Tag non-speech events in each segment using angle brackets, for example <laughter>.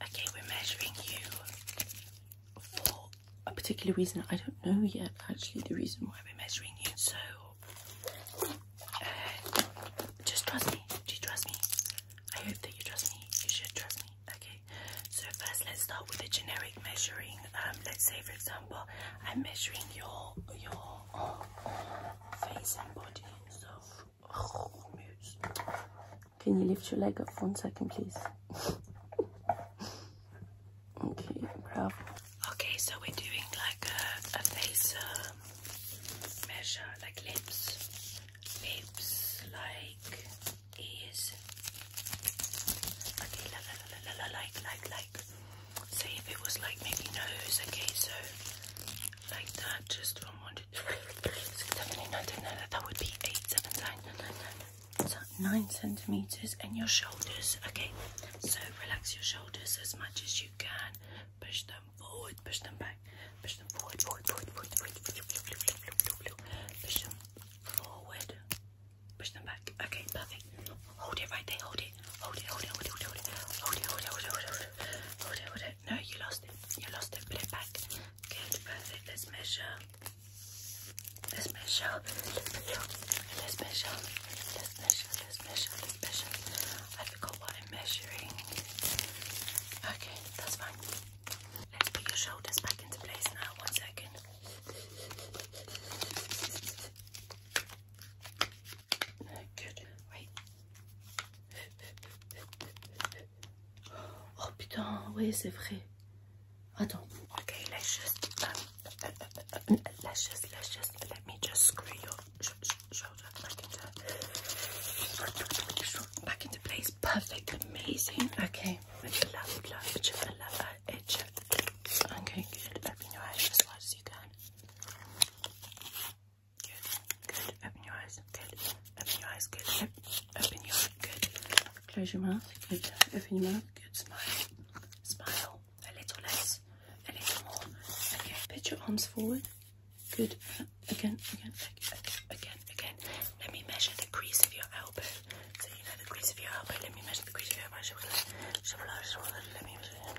Okay, we're measuring you for a particular reason. I don't know yet, actually, the reason why we're measuring you. So, uh, just trust me. Do you trust me? I hope that you trust me. You should trust me. Okay. So first, let's start with the generic measuring. Um, let's say, for example, I'm measuring your your uh, face and body. So can you lift your leg up one second, please? okay, bravo. Okay, so we're doing like a, a face um, measure, like lips, lips, like ears. Okay, like, like, like. Say if it was like maybe nose, okay, so like that, just from one to six, seven, eight, nine, ten, nine, that would be eight, seven, nine, nine, nine. So nine centimeters and your shoulders. Okay, so relax your shoulders as much as you can. Push them forward, push them back, push them forward, forward, forward, forward, forward, forward, push them forward, push them back. Okay, perfect. Hold it right there, hold it, hold it, hold it, hold it, hold it, hold it, hold it, hold it, hold it, hold it, hold it, hold it, hold it, no, you lost it. You lost it. Put it back. Good, perfect. Let's measure. Let's measure. Let's measure. Let's measure. Let's measure. Let's measure. Let's measure. I forgot what I'm measuring. Okay, that's fine. Let's put your shoulders back into place now. One second. good. Wait. Oh putain, oui, c'est vrai. Attends. Ok, let's just, um, uh, uh, uh, let's just, let's just, let me just screw your sh sh shoulder back into, back into place. Perfect, amazing. Okay. Would you love, would love, would you love, uh, itch. Okay, good. Open your eyes as wide as you can. Good, good. Open your eyes. Good. Open your eyes, good. Open your eyes, good. Close your mouth, good. Open your mouth, good. Smile. Smile. A little less, a little more. Okay, put your arms forward. Good. Again, again, again, again, again. Let me measure the crease of your elbow. So you know the crease of your elbow. Let me measure the crease of your elbow. So Let me measure.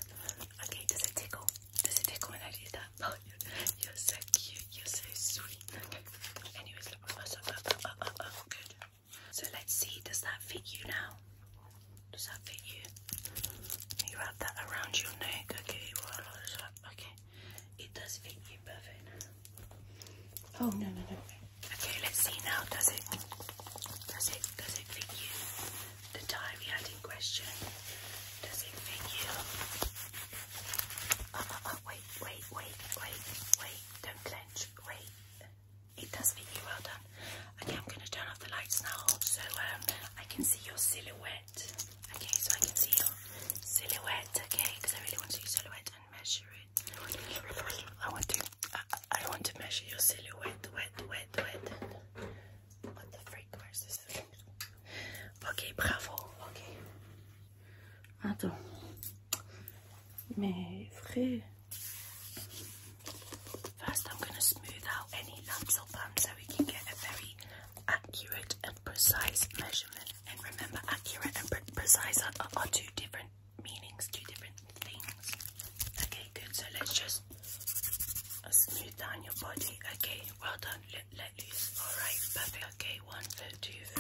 Okay, does it tickle? Does it tickle when I do that? Oh, you're, so cute. You're so sweet. Anyways, oh, oh, oh, So let's see. Does that fit you now? Does that fit you? You wrap that around your neck. Okay. Okay. It does fit you perfect. Oh no no no. Okay. Let's see now. Does it? Does it? Does it fit you? The tie we had in question. Does it fit you? wait wait, wait, wait, wait, don't clench, wait. It does fit you, well done. Okay, I'm gonna turn off the lights now so um, I can see your silhouette. Okay, so I can see your silhouette, okay, because I really want to see your silhouette and measure it. I want to I, want to measure your silhouette, wet, wet, wet. What the freak, where's this? Okay, bravo, okay. First, I'm going to smooth out any lumps or bumps so we can get a very accurate and precise measurement. And remember, accurate and precise are, are two different meanings, two different things. Okay, good. So let's just smooth down your body. Okay, well done let loose. Alright, perfect. Okay, one centimeters,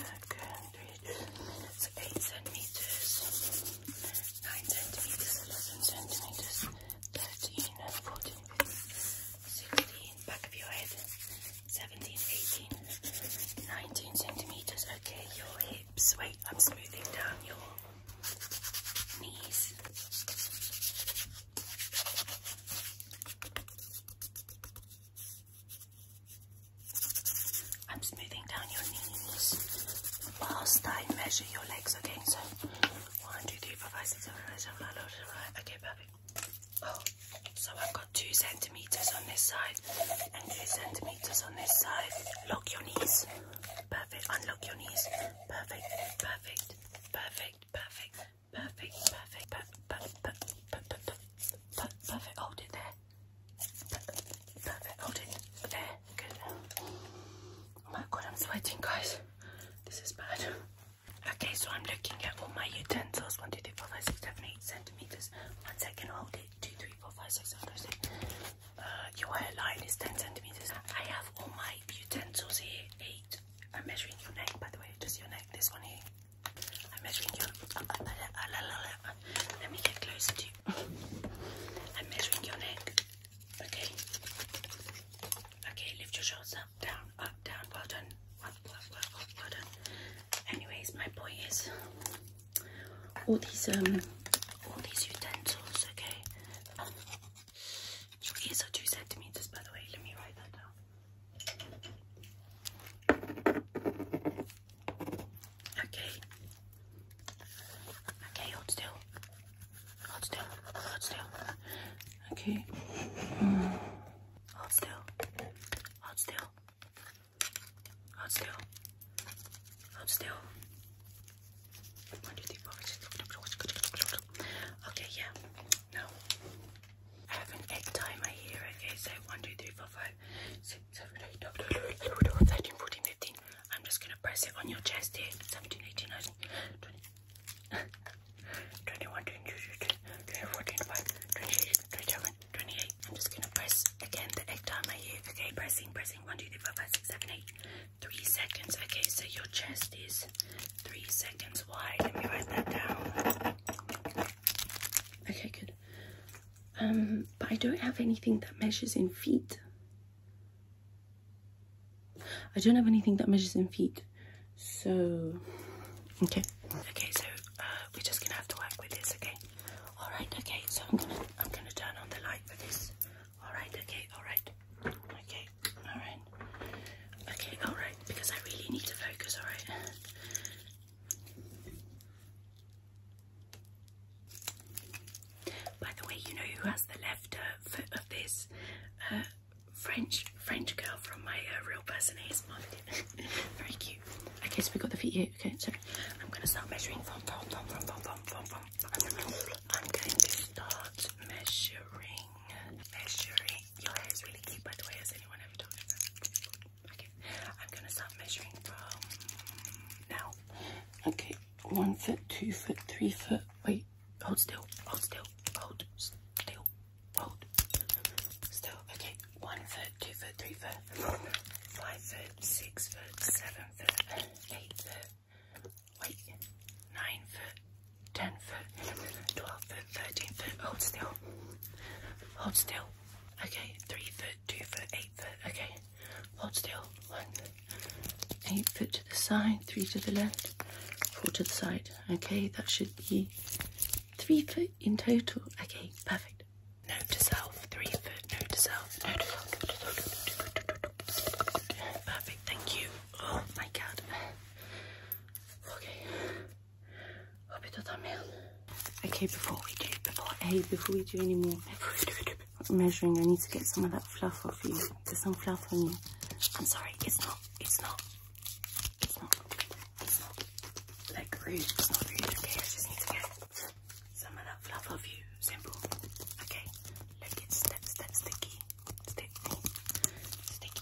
nine centimeters, eleven centimeters, thirteen, fourteen, sixteen, back of your head, seventeen, eighteen, nineteen centimeters. Okay, your hips. Wait, I'm smoothing down your knees. I'm smoothing down your knees whilst I measure your legs, okay? So, one, two, three, four, five, six, seven, eight, seven, nine, nine, nine. Okay, perfect. Oh, so I've got two centimeters on this side and two centimeters on this side. Lock your knees. Perfect. Unlock your knees. Perfect. Perfect. Perfect. Perfect. Perfect, perfect, perfect, perfect, perfect, perfect, perfect, perfect. Hold it there. Perfect, hold it there. Good. Oh my god, I'm sweating, guys. This is bad. Okay, so I'm looking at all my utensils. 1, 2, 3, 4, 5, 6, 7, 8 centimeters. One second, hold it. 2, 3, 4, 5, 6, 7, 8. Six. Uh, your hairline is 10 centimeters. I have all my utensils here. 8. I'm measuring your neck, by the way. Just your neck. This one here. I'm measuring your. Uh, uh, uh, Let me get closer to you. I'm measuring your neck. Okay. Okay, lift your shoulders up, down, up, down. Well done. Well, well, well, well, well done. Anyways, my point is all these um all these utensils. Okay. Um, your ears two centimeters, by the way. Let me write that down. Okay. Okay, hold still. Hold still. Hold still. Okay. Hold still. Hold still. Hold still. Hold still. Okay, yeah. No. I have an egg timer here. Okay, so It's 1, 2, 3, 4, 5, 6, 7, 8, 9, 13, 14, 15. I'm just gonna press it on your chest here. 17, 18, 19, 20, <laughs> 21, 22, 23, 14, 5, 26, 27, 28. I'm just gonna press again the egg timer here. Okay, pressing, pressing. 1, 2, 3, 4, 5, 6, 7, 8. 3 seconds. Okay, so your chest is 3 seconds seconds Let me write that down. Okay, good. Um, but I don't have anything that measures in feet. I don't have anything that measures in feet. So, okay. Okay, so uh, we're just gonna have to work with this, okay? All right, okay. So I'm gonna turn on the light for this. All right, okay, all right, okay, all right, okay, all right. Because I really need to focus. All right. By the way, you know who has the left uh, foot of this uh, French French girl from my uh, real person is <laughs> Very cute. Okay, so we got the feet here. Okay, so I'm gonna start measuring your hair is really cute by the way. Has anyone ever told you that? Okay, I'm gonna start measuring from now. Okay, one foot, two foot, three foot. Wait, hold still, hold still, hold still, hold still. Okay, one foot, two foot, three foot, five foot, six foot, seven foot, eight foot. Wait, nine foot, ten foot, twelve foot, 13 foot, hold still, hold still, okay, 3 foot, 2 foot, 8 foot, okay, hold still, 1, 8 foot to the side, 3 to the left, 4 to the side, okay, that should be 3 foot in total, okay, perfect, No to self, 3 foot, No to self, No to self, note to self, perfect, thank you, oh my god, okay, Okay, before we do, before hey, before we do any more measuring, I need to get some of that fluff off you. There's some fluff on you. I'm sorry, it's not, it's not, it's not, it's not like rude. It's not rude. Okay, I just need to get some of that fluff off you. Simple. Okay, look, it's step, step, sticky, sticky, sticky.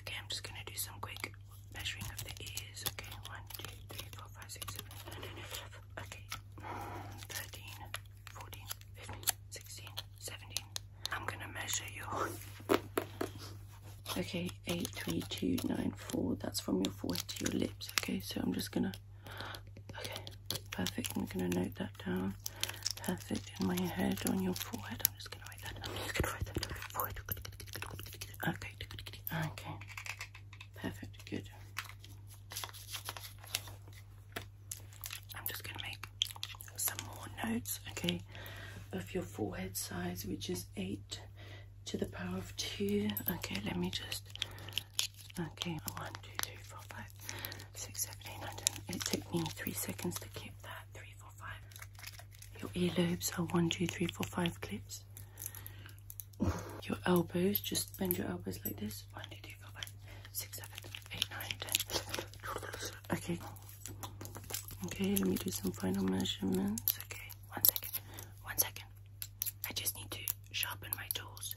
Okay, I'm just gonna do some quick measuring of the ears. Okay, one, two, three, four, five, six, seven, eight, nine, nine, nine. Okay, 13, 14, 15, 16, 17. I'm gonna measure your. <laughs> Okay, eight, three, two, nine, four. That's from your forehead to your lips. Okay, so I'm just gonna. Okay, perfect. I'm gonna note that down perfect in my head on your forehead. I'm just gonna write that. I'm just gonna write that on your forehead. Okay, okay. Perfect, good. I'm just gonna make some more notes, okay, of your forehead size, which is eight to the power of two. Okay, let me just okay, one, two, three, four, five, six, seven, eight, nine, ten. It took me three seconds to keep that. Three, five. Your earlobes are one, two, three, four, five clips. Your elbows, just bend your elbows like this. One, two, three, four, five, six, seven, eight, nine, ten. Okay. Okay, let me do some final measurements. Okay, one second. One second. I just need to sharpen my tools.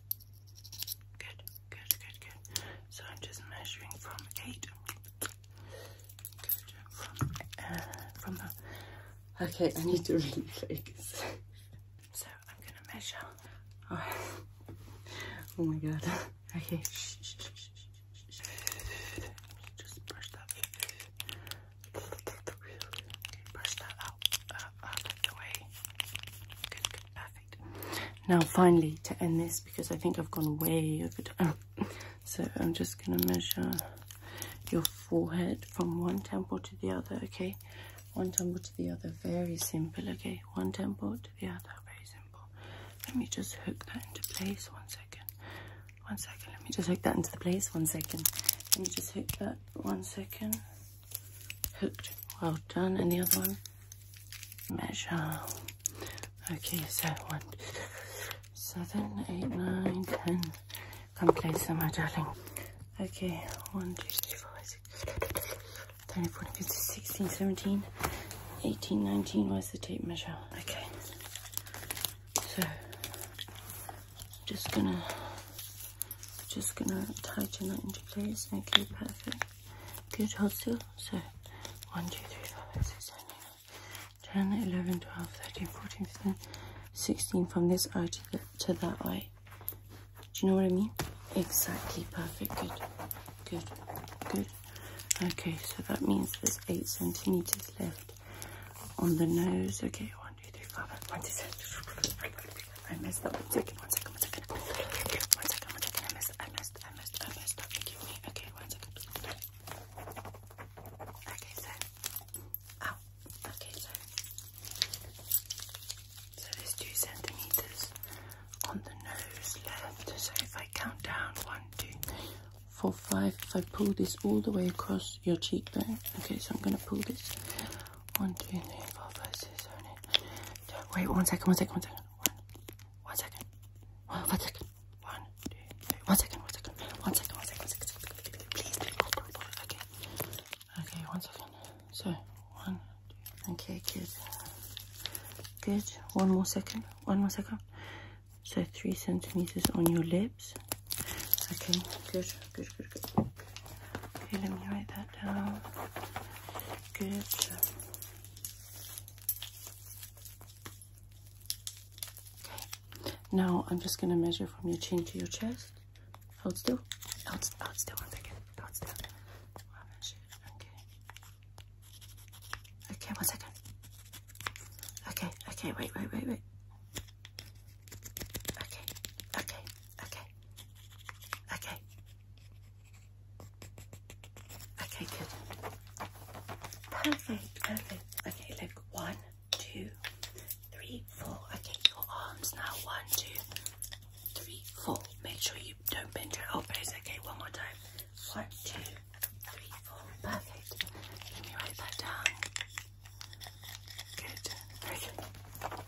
Good, good, good, good. So I'm just measuring from eight. Okay, I need to really focus. so I'm gonna measure. Oh, my god. Okay. Just brush that. Brush that out, uh, out the way. Good, good, perfect. Now, finally, to end this because I think I've gone way over time. So I'm just going to measure your forehead from one temple to the other, okay? One temple to the other, very simple, okay? One temple to the other, very simple. Let me just hook that into place, one second. One second, let me just hook that into the place, one second. Let me just hook that, one second. Hooked, well done. And the other one, measure. Okay, so one, seven, eight, nine, ten. Come closer, my darling. Okay, one, two, three, four, six, ten, fourteen, fifteen, sixteen, seventeen, eighteen, nineteen. Where's the tape measure? Okay, so just gonna just gonna tighten that into place. Okay, perfect. Good, hold still. So, one, two, three, four, five, six, seven, eight. 10, 11, 12, 13, 14, 15, 16 from this eye to, the, to that eye. Do you know what I mean? Exactly, perfect, good, good, good. Okay, so that means there's 8 centimeters left on the nose. Okay, 1, 2, 3, 4, 5, 1, 2, 3. I messed up. One second, one second, one second. One second, one second. I messed, I messed, I messed, I messed up. Forgive me. Okay, one second. Okay, so oh, okay, so so there's two centimeters on the nose left. So if I count down one, two, four, five, if I pull this all the way across your cheekbone, okay, so I'm gonna pull this one, two, three, four, five, six, seven, eight. Wait, one second, second, one second. One, one second. One, one second. One, two, three. One second, one second. One second, one second, one second. Please, please, Okay. Okay, one second. So, one, two. Okay, good. Good. One more second. One more second. So, three centimeters on your lips. Okay, good, good, good, good. Okay, let me write that down. Good. Okay, now I'm just gonna measure from your chin to your chest. Hold still. Hold, hold still one second. Hold still. I'll measure. Okay. Okay, one second. Okay, okay, wait, wait, wait, wait. Okay, okay, okay, okay. Okay, good. Perfect, perfect. Okay, look. One, two, three, four. Okay, your arms now. One, two, three, four. Make sure you don't bend your elbows. Okay, one more time. One, two, three, four. Perfect. Let me write that down. Good. Very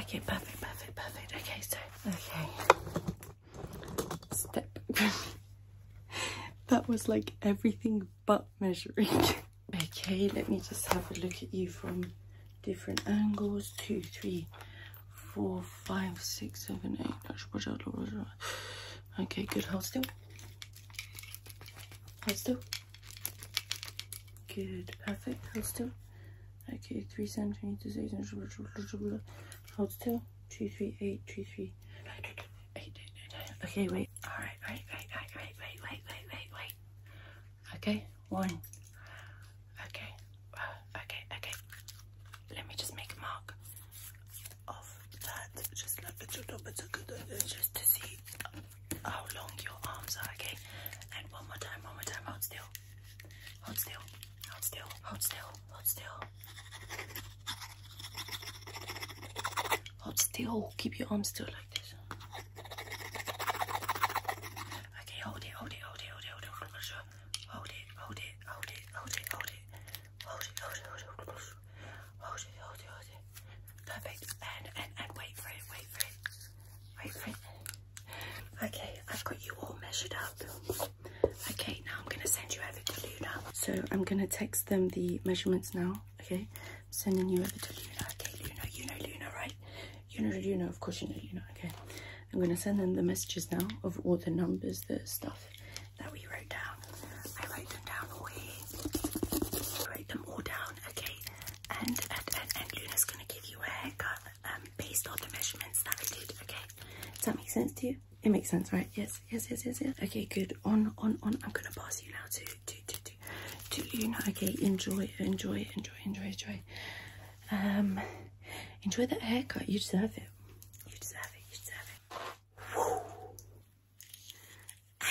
Okay, perfect, perfect, perfect. Okay, so, okay step. <laughs> that was like everything but measuring. <laughs> okay, let me just have a look at you from different angles. Two, three, four, five, six, seven, eight. Okay, good. Hold still. Hold still. Good. Perfect. Hold Okay, three centimeters, eight centimeters. Hold still two, three, eight, two, three, nine, eight, eight, eight, nine. Okay, wait. All right, all right, right, right, right, wait, wait, wait, wait, wait. Okay, one. Okay, uh, okay, okay. Let me just make a mark of that. Just like a little bit, just to see how long your arms are. Okay, and one more time, one more time. Hold still. Hold still. Hold still, hold still, hold still. Hold still, keep your arms still like this. Okay, hold it, hold it, hold it, hold it, hold it, hold it, hold it, hold it, hold it, hold it, hold it, hold it, hold it, hold it, hold it, hold it, hold it. Perfect. And and and wait for it, wait for it. Wait for it. Okay, I've got you all measured up. Okay, now I'm gonna send you over to Luna. So I'm gonna text them the measurements now. Okay, sending you over to Luna. Okay, Luna, you know Luna, right? You know Luna, of course you know Luna. Okay, I'm gonna send them the messages now of all the numbers, the stuff that we wrote down. I write them down all here. them all down. Okay, and and and, Luna's gonna give you a haircut um, based on the measurements that I did. Okay, does that make sense to you? It makes sense, right? Yes, yes, yes, yes, yes. Okay, good. On, on, on. I'm gonna pass you now to, to, to, to, to you now. Okay, enjoy, enjoy, enjoy, enjoy, enjoy. Um, enjoy that haircut. You deserve it. You deserve it. You deserve it.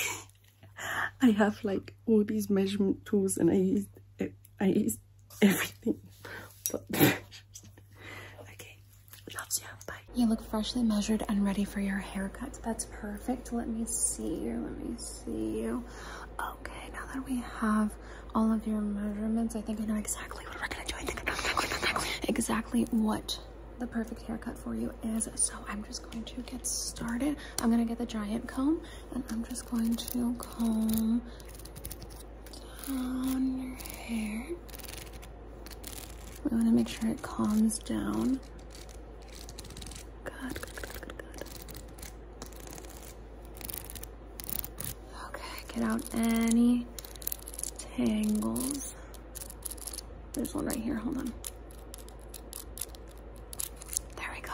<laughs> I have like all these measurement tools, and I use it. I use everything. <laughs> <laughs> okay, Loves you. Bye. You look freshly measured and ready for your haircut. That's perfect. Let me see you. Let me see you. Okay, now that we have all of your measurements, I think I know exactly what we're gonna do. exactly, exactly what the perfect haircut for you is. So I'm just going to get started. I'm gonna get the giant comb and I'm just going to comb down your hair. We want to make sure it calms down. Good, Okay, get out any tangles. There's one right here, hold on. There we go.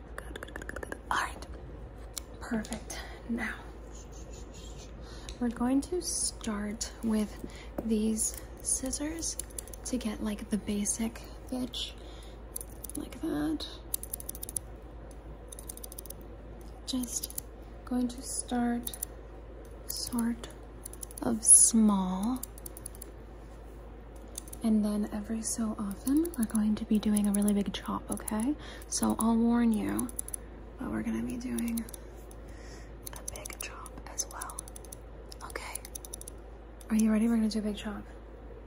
all right. Perfect. Now, we're going to start with these scissors to get like the basic edge, like that. Just going to start sort of small and then every so often, we're going to be doing a really big chop, okay? So I'll warn you, but we're gonna be doing a big chop as well. Okay. Are you ready? We're gonna do a big chop.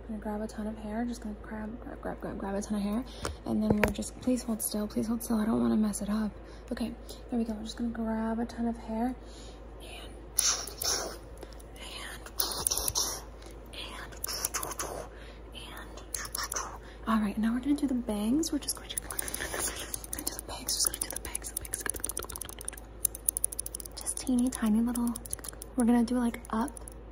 I'm gonna grab a ton of hair, just gonna grab, grab, grab, grab, grab a ton of hair. And then we're just, please hold still, please hold still. I don't wanna mess it up. Okay, here we go. We're just gonna grab a ton of hair and, and, all right, now we're gonna do the bangs. We're just going to do the bangs, just going teeny tiny little, we're gonna do like up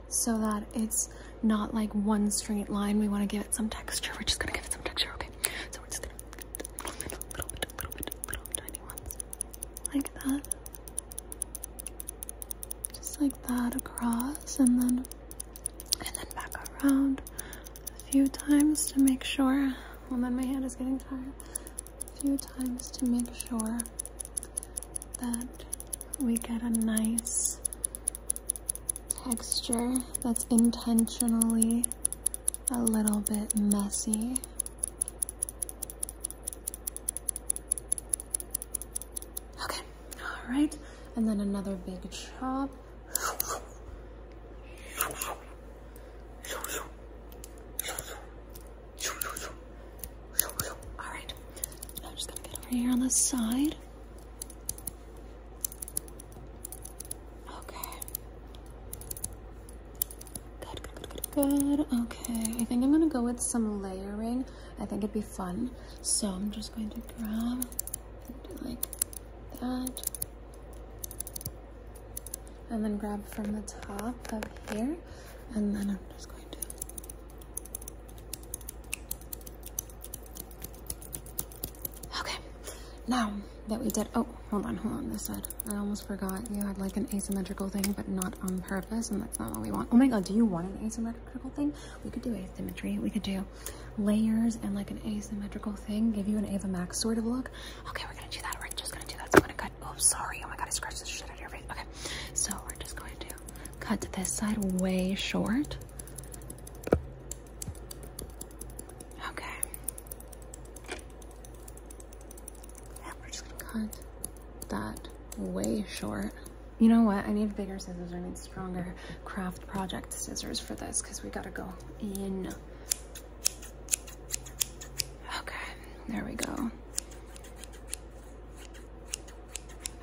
so that it's not like one straight line. We wanna give it some texture. We're just gonna give it some texture, okay? So we're just gonna, little bit, little bit, little bit, tiny ones like that. Just like that across and then and then back around a few times to make sure. Well then my hand is getting tired. A few times to make sure that we get a nice texture that's intentionally a little bit messy Okay, all right. And then another big chop. All right, I'm just gonna get over here on the side. Okay. Good, good, Okay, I think I'm gonna go with some layering. I think it'd be fun. So I'm just going to grab like that. And then grab from the top of here. And then I'm just going to Okay. Now that we did oh hold on, hold on this side. I almost forgot you had like an asymmetrical thing, but not on purpose, Oh my god, do you want an asymmetrical thing? We could do asymmetry. We could do layers and like an asymmetrical thing. Give you an Ava Max sort of look. Okay, we're gonna do that. We're just gonna do that. So I'm gonna cut. Oh, sorry. Oh my god, I scratched the shit out of your face. Okay, so we're just going to cut this side way short. Okay. And we're just gonna cut that way short. You know what? I need bigger scissors. I need stronger craft project scissors for this because we gotta go in. Okay, there we go.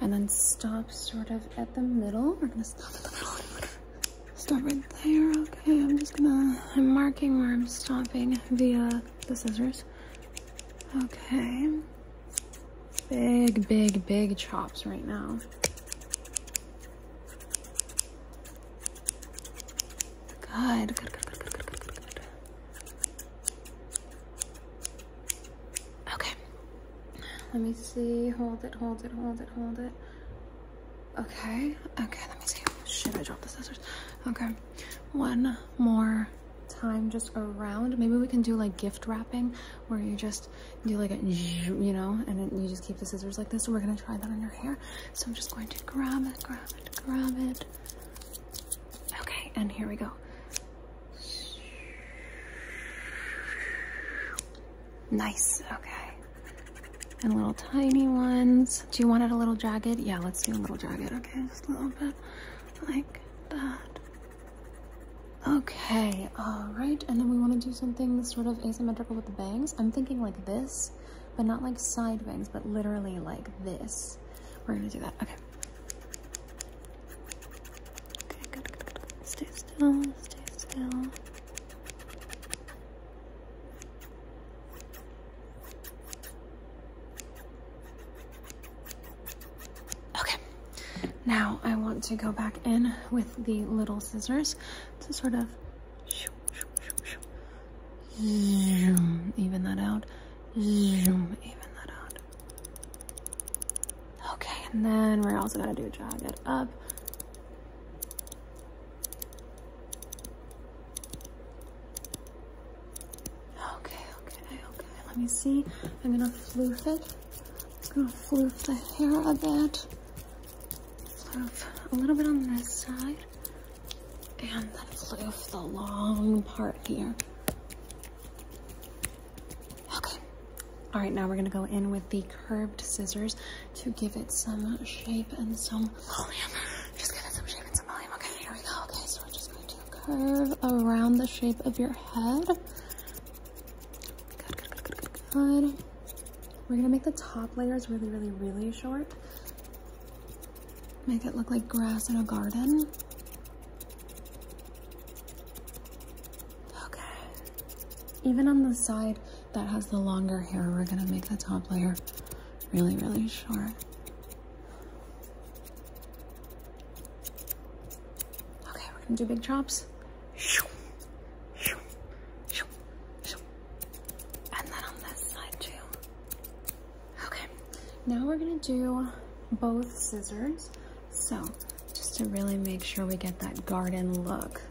And then stop sort of at the middle. We're gonna stop at the middle. Stop right there. Okay, I'm just gonna, I'm marking where I'm stopping via the scissors. Okay. Big, big, big chops right now. Good, Okay. Let me see. Hold it, hold it, hold it, hold it. Okay. Okay, let me see. Should I drop the scissors? Okay. One more time just around. Maybe we can do like gift wrapping where you just do like a, you know, and you just keep the scissors like this. we're gonna try that on your hair. So I'm just going to grab it, grab it, grab it. Okay, and here we go. Nice, okay. And little tiny ones. Do you want it a little jagged? Yeah, let's do a little jagged, okay? Just a little bit like Okay, all right. And then we want to do something sort of asymmetrical with the bangs. I'm thinking like this, but not like side bangs, but literally like this. We're going to do that. Okay. Okay, good, good. Stay still, stay still. Okay, now I want to go back in with the little scissors to sort of zoom, even that out, zoom, even that out. Okay, and then we're also gonna do jog it up. Okay, okay, okay. Let me see. I'm gonna floof it. I'm gonna floof the hair a bit. Floof a little bit on this side. And then floof the long part here. Okay. All right, now we're gonna go in with the curved scissors to give it some shape and some volume. Just give it some shape and some volume. Okay, here we go. Okay, so we're just going to curve around the shape of your head. We're gonna make the top layers really, really, really short. Make it look like grass in a garden. Okay. Even on the side that has the longer hair, we're gonna make the top layer really, really short. Okay, we're gonna do big chops. Okay, now we're gonna do both scissors. So, just to really make sure we get that garden look.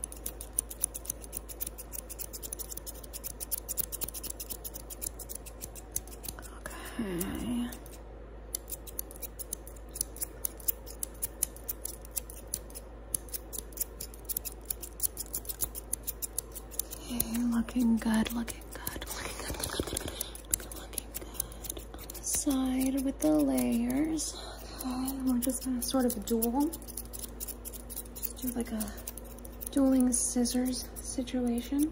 Okay. Okay, looking good, looking good, looking good, looking good, looking good. On the side with the layers. Okay, um, we're just gonna sort of duel. Just do like a dueling scissors situation.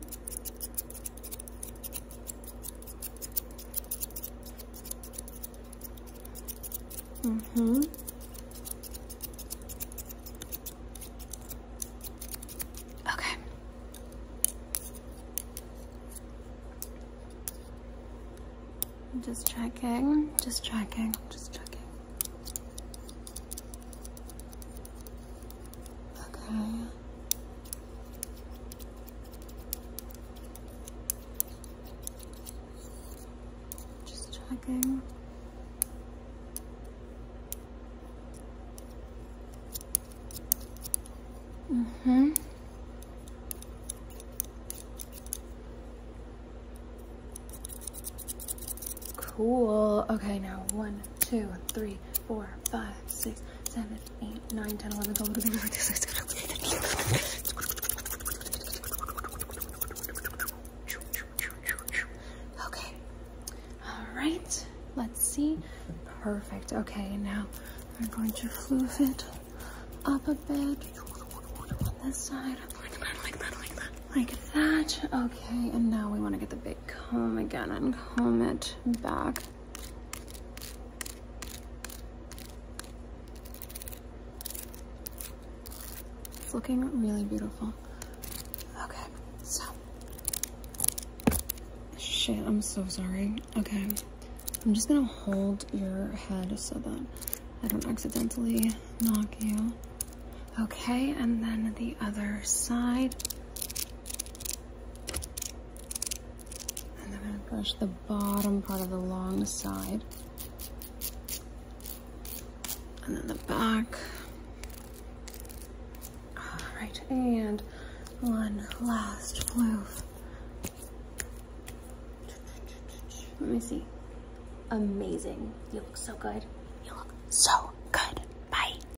Mm-hmm. Okay. Just checking, just checking, just checking. Okay. Just checking. Mm-hmm. Cool. Okay, now one, two, three, four, four, five, six, seven, eight, nine, ten, eleven, twelve, thirteen, fourteen, fifteen, sixteen, Okay. All right. Let's see. Perfect. Okay. Now I'm going to floof it up a bit this side. Like that, Okay. And now we want to get the the comb again and comb it back. It's looking really beautiful. Okay, so. Shit, I'm so sorry. Okay, I'm just gonna hold your head so that I don't accidentally knock you. Okay, and then the other side. And I'm going to brush the bottom part of the long side. And then the back. All right, and one last floof. Let me see. Amazing. You look so good. You look so good. Bye.